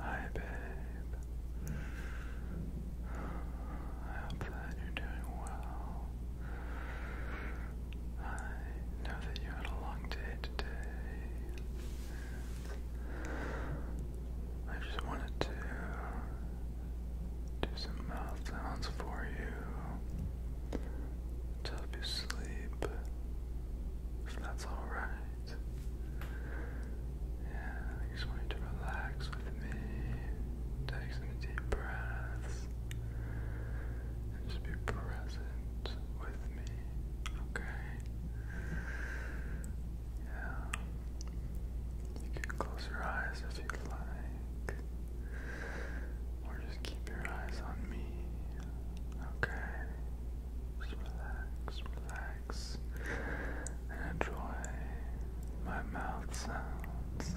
Hi, babe. I hope that you're doing well. I know that you had a long day today. I just wanted to do some mouth sounds for you to help you sleep, if that's alright. Yeah, I just want you to relax with me. Take some deep breaths. And just be present with me. Okay? Yeah. You can close your eyes if you like. Or just keep your eyes on me. Okay? Just relax, relax, and enjoy my mouth sounds.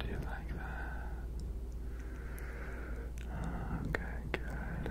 Do you like that? Okay, good.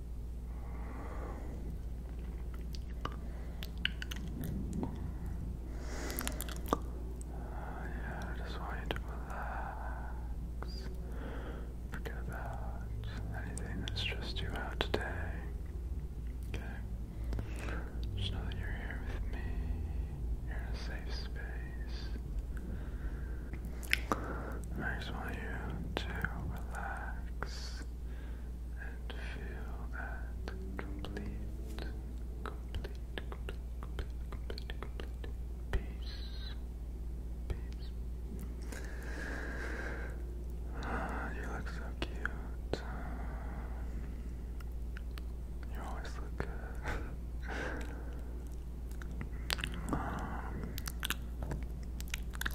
yeah, I just want you to relax. Forget about anything that stressed you out today. Okay? Just know that you're here with me. You're in a safe space. I just want you to relax and feel that complete, complete, complete, complete, complete, complete peace. Peace. you look so cute. You always look good. Um,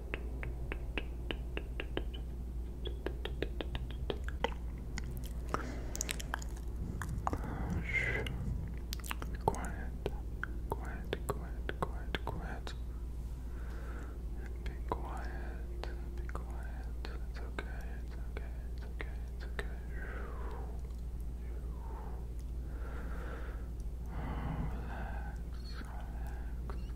quiet, quiet, quiet, quiet, quiet. Be quiet, be quiet. It's okay, it's okay, it's okay, it's okay. Relax, relax,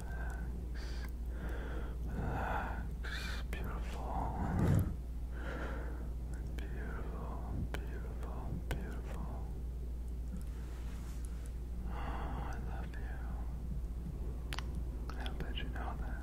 relax, beautiful, beautiful, beautiful, beautiful. Oh, I love you. I'll you know that.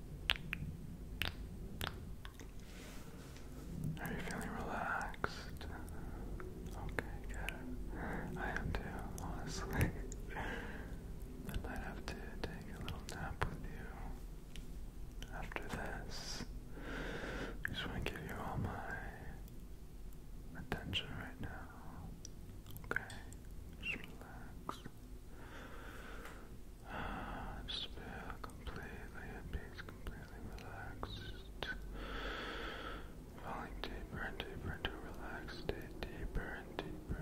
Are you feeling relaxed? Okay, good. I am too, honestly. might have to take a little nap with you after this. just want to give you all my attention right now. Okay? relax. Uh, just feel completely at peace, completely relaxed. Falling deeper and deeper into a relaxed deeper and deeper.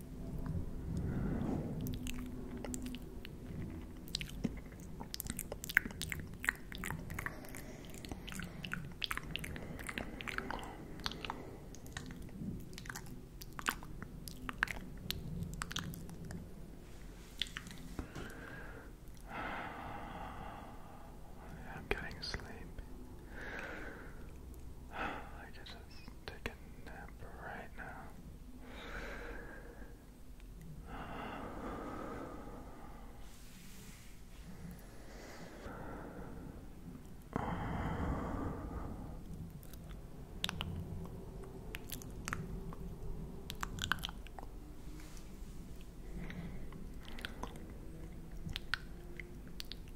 I'm getting sleepy. I get just take a nap right now.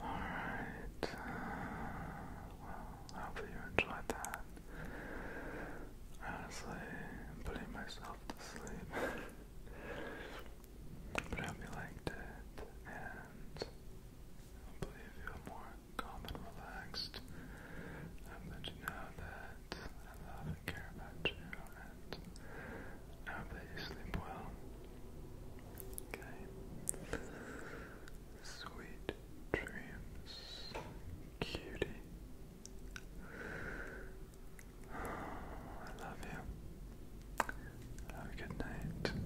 Alright, uh, well, I hope you enjoyed that. Honestly, I'm putting myself to sleep. but I hope you liked it, and hopefully you feel more calm and relaxed. Um, that you know that I love and care about you, and I hope that you sleep well. Okay. Sweet dreams, cutie. I love you. Have a good night.